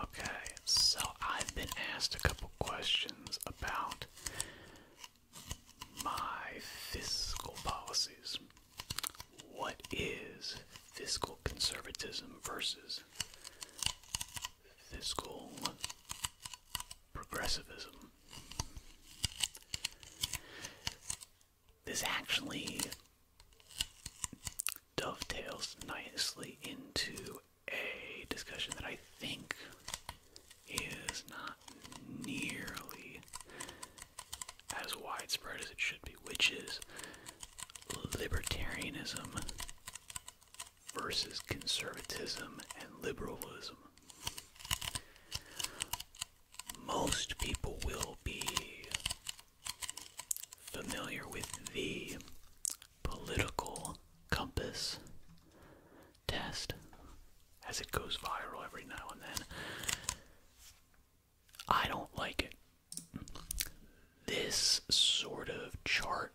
Okay, so I've been asked a couple questions about my fiscal policies. What is fiscal conservatism versus fiscal progressivism? This actually dovetails nicely into a discussion that I think is not nearly as widespread as it should be, which is libertarianism versus conservatism and liberalism. Most people will be familiar with the political compass test as it goes viral every now and then. I don't like it. This sort of chart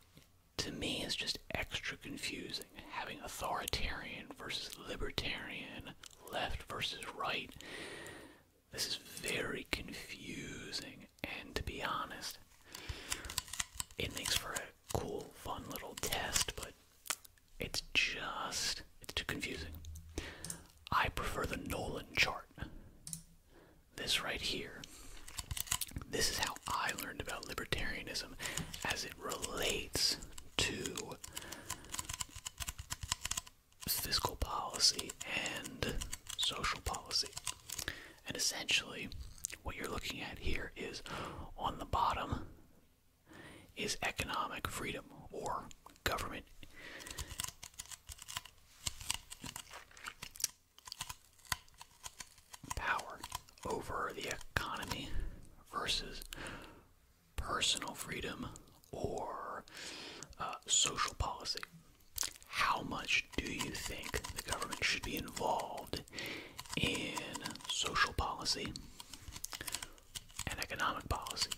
to me is just extra confusing. Having authoritarian versus libertarian, left versus right. This is very confusing and to be honest, it makes for a cool, fun little test, but it's just, it's too confusing. I prefer the Nolan chart. This right here. This is how I learned about libertarianism as it relates to fiscal policy and social policy. And essentially, what you're looking at here is on the bottom is economic freedom or government power over the economy versus personal freedom or uh, social policy how much do you think the government should be involved in social policy and economic policy?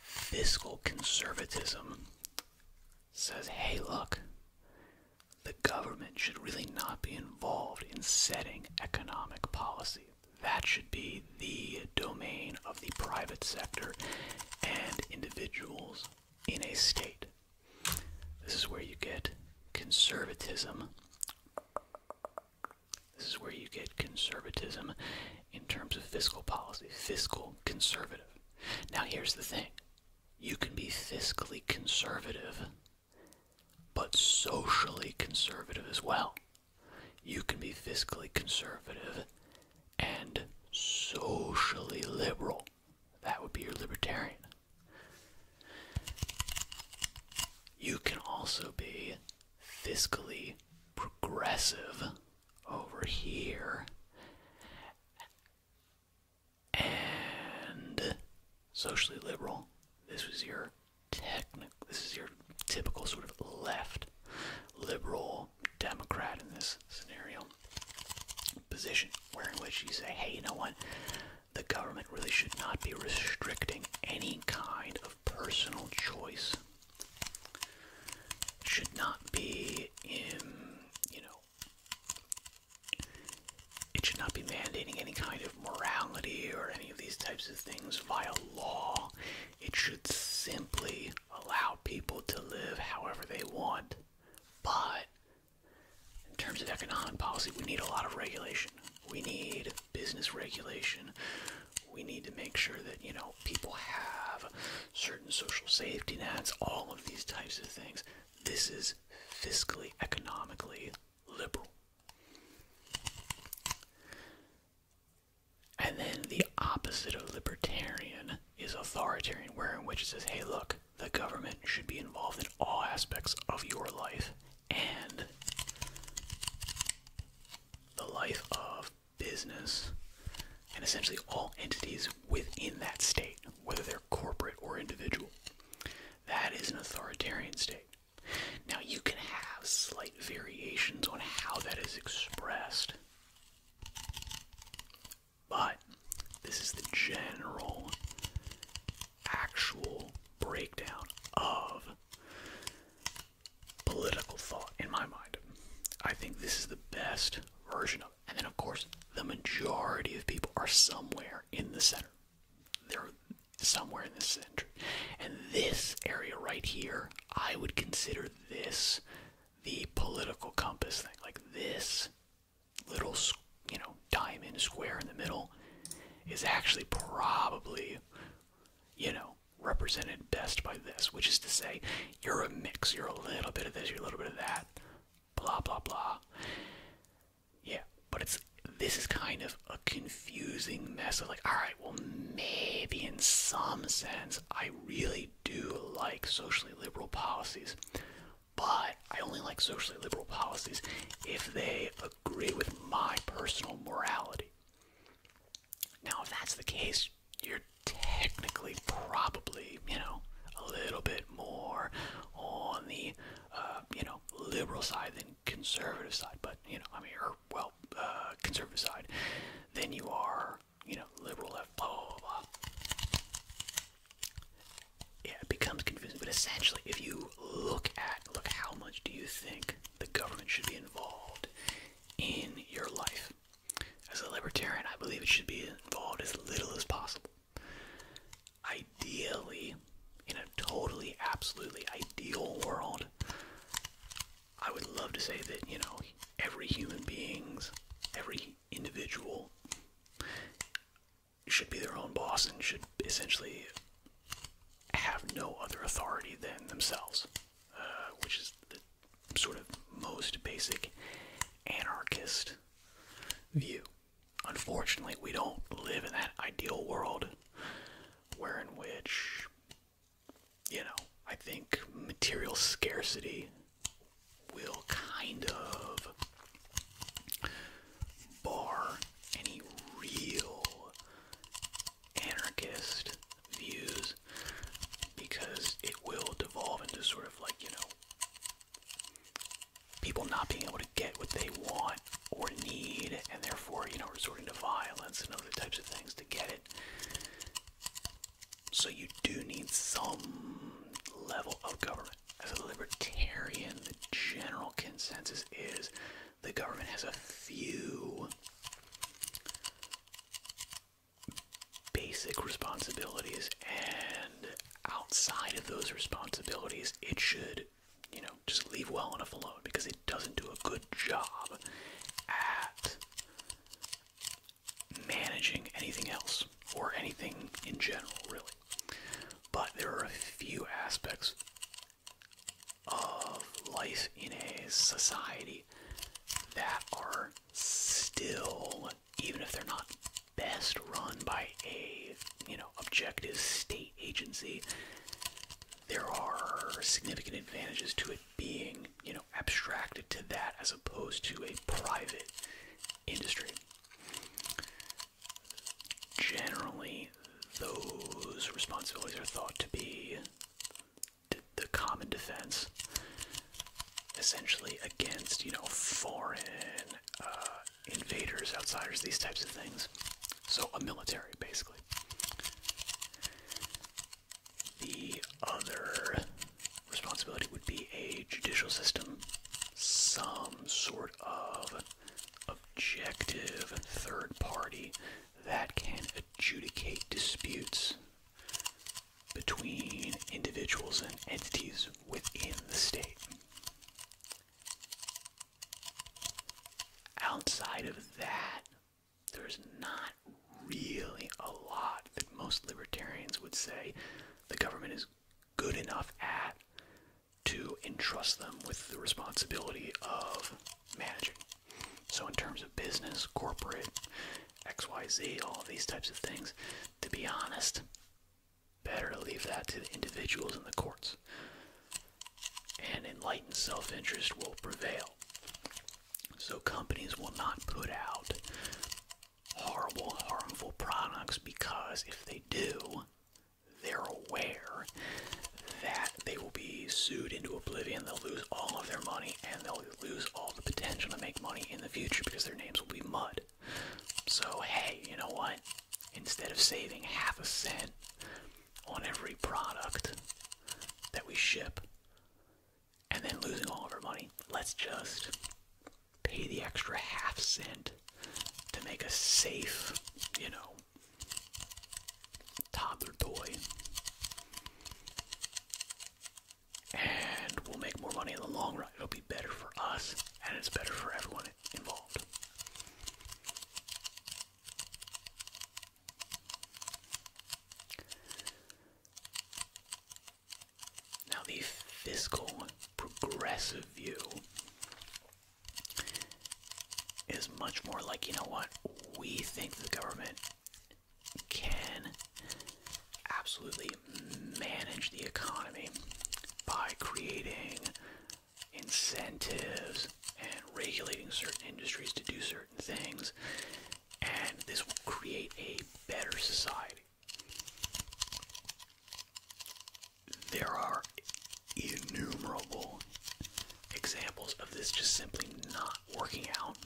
Fiscal conservatism says, hey, look, the government should really not be involved in setting economic policy. That should be the domain of the private sector and individuals in a state. This is where you get conservatism. This is where you get conservatism in terms of fiscal policy, fiscal conservative. Now, here's the thing you can be fiscally conservative, but socially conservative as well. You can be fiscally conservative and socially liberal. That would be your libertarian. You can also be fiscally progressive over here and socially liberal. This was your technical, this is your typical sort of left liberal Democrat in this scenario position, where in which you say, hey, you know what? The government really should not be restricting any kind of personal choice. Should not be in, you know, it should not be mandating any kind of morality or any of these types of things via law. It should simply allow people to live however they want. But in terms of economic policy, we need a lot of regulation. We need business regulation. We need to make sure that, you know, people have certain social safety nets, all of these types of things. This is fiscally, economically liberal. And then the opposite of libertarian is authoritarian, where in which it says, hey, look, the government should be involved in all aspects of your life and the life of business and essentially all entities within that state, whether they're corporate or individual. That is an authoritarian state. Now, you can have slight variations on how that is expressed. But this is the general actual breakdown of political thought in my mind. I think this is the best version of it. And then, of course, the majority of people are somewhere in the center. They're somewhere in the center. And this area right here, I would consider this the political compass thing. Like this little, you know, diamond square in the middle is actually probably, you know, represented best by this, which is to say, you're a mix. You're a little bit of this, you're a little bit of that, blah, blah, blah. Yeah, but it's this is kind of a confusing mess of like, all right, well, maybe in some sense, I really do like socially liberal policies, but I only like socially liberal policies if they agree with my personal morality. Now, if that's the case, you're technically probably, you know, a little bit more on the, uh, you know, liberal side than conservative side, but, you know, I mean, or, well, uh, conservative side, than you are you know, liberal left, blah, blah, blah, blah. Yeah, it becomes confusing, but essentially, if you look at, look, how much do you think the government should be involved in your life? As a libertarian, I believe it should be involved as little as possible. Ideally, in a totally, absolutely ideal world, I would love to say that, you know, every human being's, every individual should be their own boss and should essentially have no other authority than themselves, uh, which is the sort of most basic anarchist view. Unfortunately, we don't live in that ideal world where in which, you know, I think material scarcity will kind of bar any real anarchist views because it will devolve into sort of like, you know, people not being able to get what they want or need and therefore, you know, resorting to violence and other types of things to get it. So you do need some level of government. As a libertarian, the general consensus is the government has a few basic responsibilities, and outside of those responsibilities, it should, you know, just leave well enough alone because it doesn't do a good job at managing anything else or anything in general, really. But there are a few aspects of life in a society that are still, even if they're not best run by a, you know, objective state agency, there are significant advantages to it being, you know, abstracted to that as opposed to a private industry. Generally, those responsibilities are thought to be the common defense, essentially against you know foreign uh, invaders, outsiders, these types of things. So a military, basically. The other responsibility would be a judicial system, some sort of objective and third party that can adjudicate disputes between individuals and entities within the state. Outside of that, there's not really a lot that most libertarians would say the government is good enough at to entrust them with the responsibility of managing. So, in terms of business, corporate, XYZ, all these types of things, to be honest, better leave that to the individuals and the courts. And enlightened self interest will prevail. So, companies will not put out horrible, harmful products because if they do, they're aware that they will be sued into oblivion. They'll lose all of their money and they'll lose all the potential to make money in the future because their names will be mud. So, hey, you know what? Instead of saving half a cent on every product that we ship and then losing all of our money, let's just pay the extra half cent to make a safe, you know, toddler toy. And we'll make more money in the long run. It'll be better for us, and it's better for everyone involved. Now, the fiscal progressive view is much more like, you know what, we think the government can absolutely manage the economy by creating incentives and regulating certain industries to do certain things, and this will create a better society. There are innumerable examples of this just simply not working out,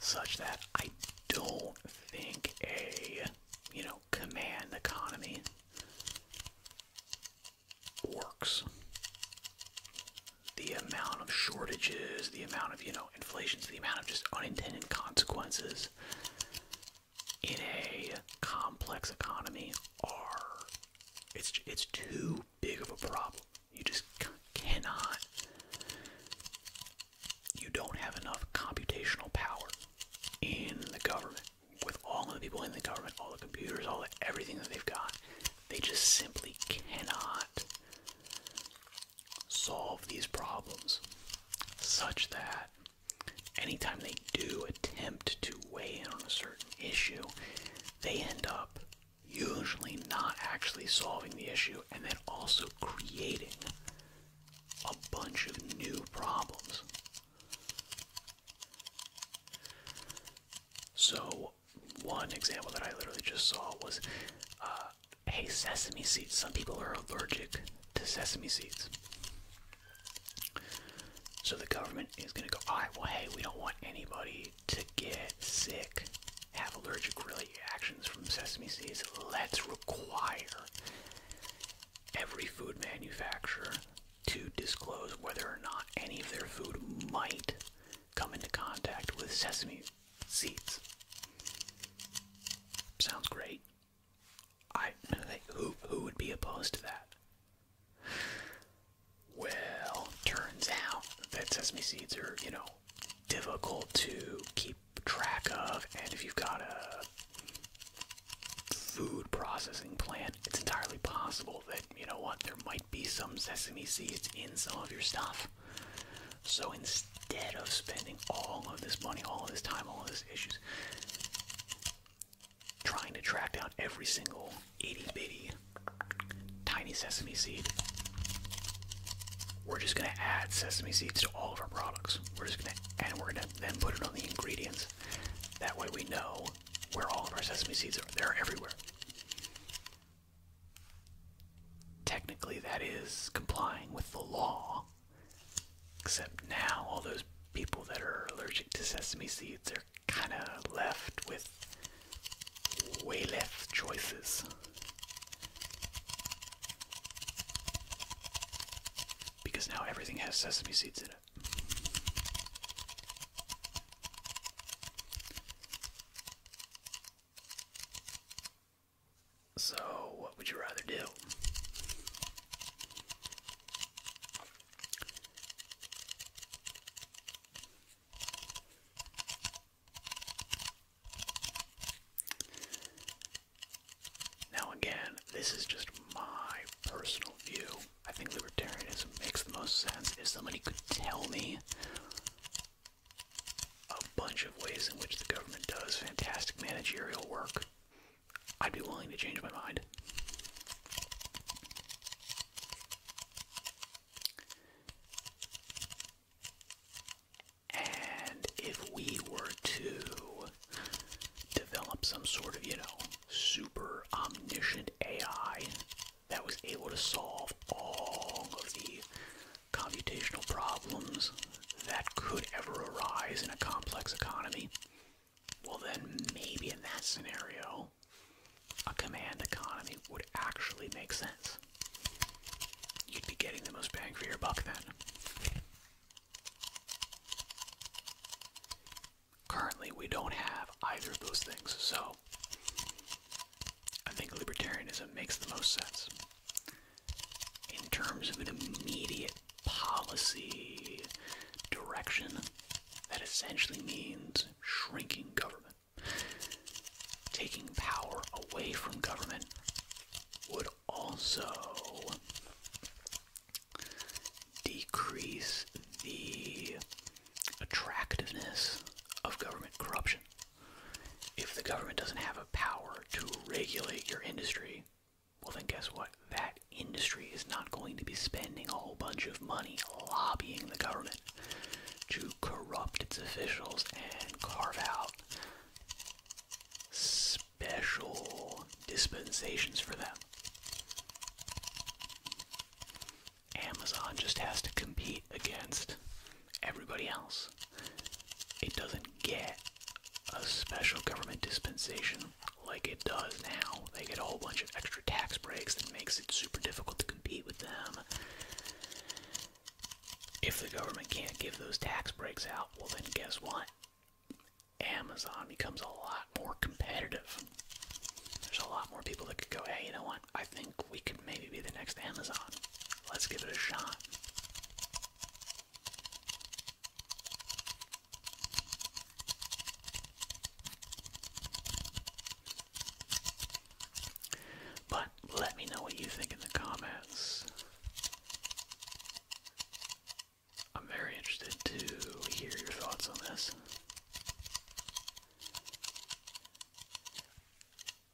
such that I don't think a, you know, command economy works. The amount of shortages, the amount of, you know, inflation, the amount of just unintended consequences in a complex economy are it's it's too big of a problem. You just cannot. You don't have enough computational power in the government with all of the people in the government, all the computers, all the, everything that they've got. They just simply cannot solve these problems such that anytime they do attempt to weigh in on a certain issue, they end up usually not actually solving the issue and then also creating a bunch of new problems. So, one example that I literally just saw was uh, hey, sesame seeds. Some people are allergic to sesame seeds. So the government is going to go, all right, well, hey, we don't want anybody to get sick, have allergic reactions from sesame seeds. Let's require every food manufacturer to disclose whether or not any of their food might come into contact with sesame seeds. Sounds great. I who who would be opposed to that? Well, turns out that sesame seeds are, you know, difficult to keep track of, and if you've got a food processing plant, it's entirely possible that, you know what, there might be some sesame seeds in some of your stuff. So instead instead of spending all of this money, all of this time, all of these issues trying to track down every single itty bitty tiny sesame seed. We're just gonna add sesame seeds to all of our products. We're just gonna and we're gonna then put it on the ingredients. That way we know where all of our sesame seeds are. They're everywhere. Technically that is complying with the law Except now, all those people that are allergic to sesame seeds are kind of left with way less choices. Because now everything has sesame seeds in it. So, what would you rather do? Now, again, this is just my personal view. I think libertarianism makes the most sense if somebody could tell me a bunch of ways in which the government does fantastic managerial work I'd be willing to change my mind. And if we were to develop some sort of, you know, super omniscient AI that was able to solve all of the computational problems that could ever arise in a complex economy, well, then maybe in that scenario, a command economy would actually make sense. You'd be getting the most bang for your buck then. Currently, we don't have either of those things, so I think libertarianism makes the most sense in terms of an immediate policy direction that essentially means shrinking government. Taking power away from government would also decrease the attractiveness of government corruption. If the government doesn't have a power to regulate your industry, well, then guess what? That industry is not going to be spending a whole bunch of money lobbying the government to corrupt its officials and carve out special dispensations for them. Amazon just has to compete against everybody else. It doesn't get a special government dispensation like it does now. They get a whole bunch of extra tax breaks that makes it super difficult to compete with them. If the government can't give those tax breaks out, well, then guess what? Amazon becomes a lot more competitive. There's a lot more people that could go, hey, you know what? I think we could maybe be the next Amazon. Let's give it a shot. But let me know what you think in the comments. I'm very interested to hear your thoughts on this.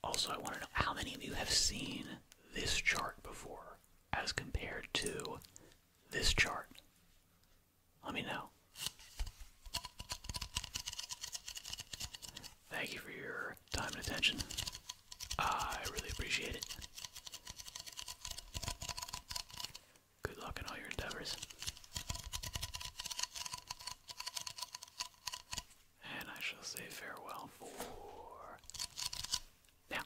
Also, I want to know how many of you have seen this chart before as compared to this chart? Let me know. Thank you for your time and attention. I really appreciate it. Good luck in all your endeavors. And I shall say farewell for now.